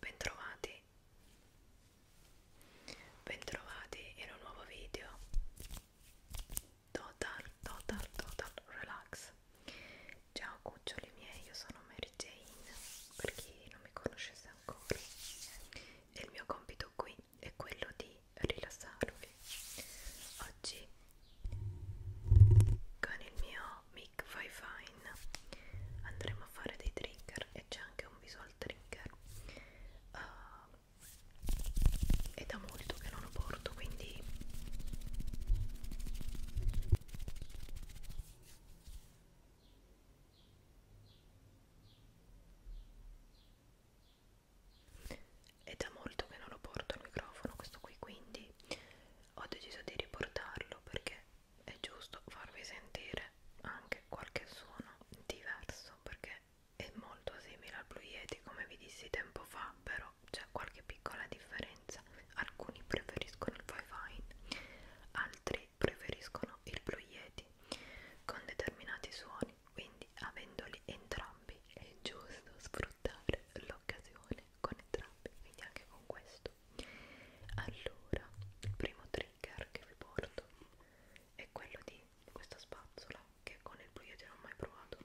bentrovati bentrovati in un nuovo video total total total relax ciao cuccioli miei io sono Mary Jane per chi non mi conoscesse ancora e il mio compito qui è quello di rilassarvi oggi con il mio no Mick vai fine andremo a fare dei trigger e c'è anche un visual trigger uh, è da molto che non lo porto quindi è da molto che non lo porto al microfono questo qui quindi ho deciso di riportarlo perché è giusto farvi sentire anche qualche suono diverso perché è molto simile al Blue Yeti come vi dissi tempo fa però c'è qualche piccola differenza alcuni preferiscono il Wi-Fi altri preferiscono il Blue Yeti con determinati suoni quindi avendoli entrambi è giusto sfruttare l'occasione con entrambi quindi anche con questo molto allora il primo trigger che vi porto è quello di questa spazzola che con il proiettile non ho mai provato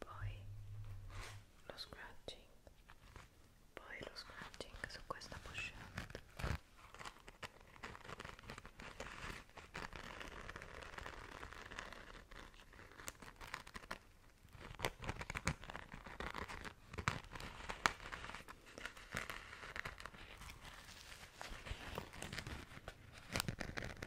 poi lo scratching poi lo scratching su questa pochette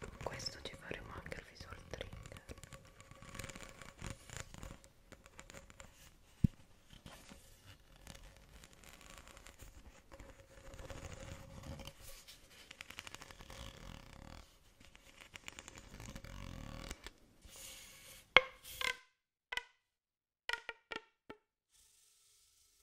con questo ci faremo anche il visual trigger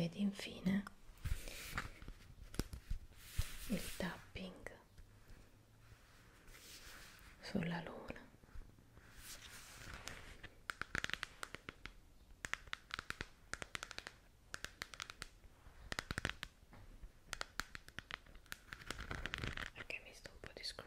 ed infine il tapping sulla luna perché mi sto un po' di scratching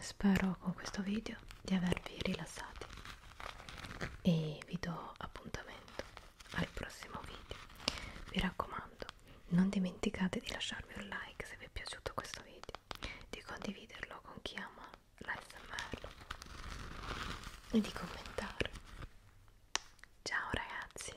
Spero con questo video di avervi rilassati e vi do appuntamento al prossimo video vi raccomando non dimenticate di lasciarmi un like se vi è piaciuto questo video di condividerlo con chi ama l'ASMR e di commentare ciao ragazzi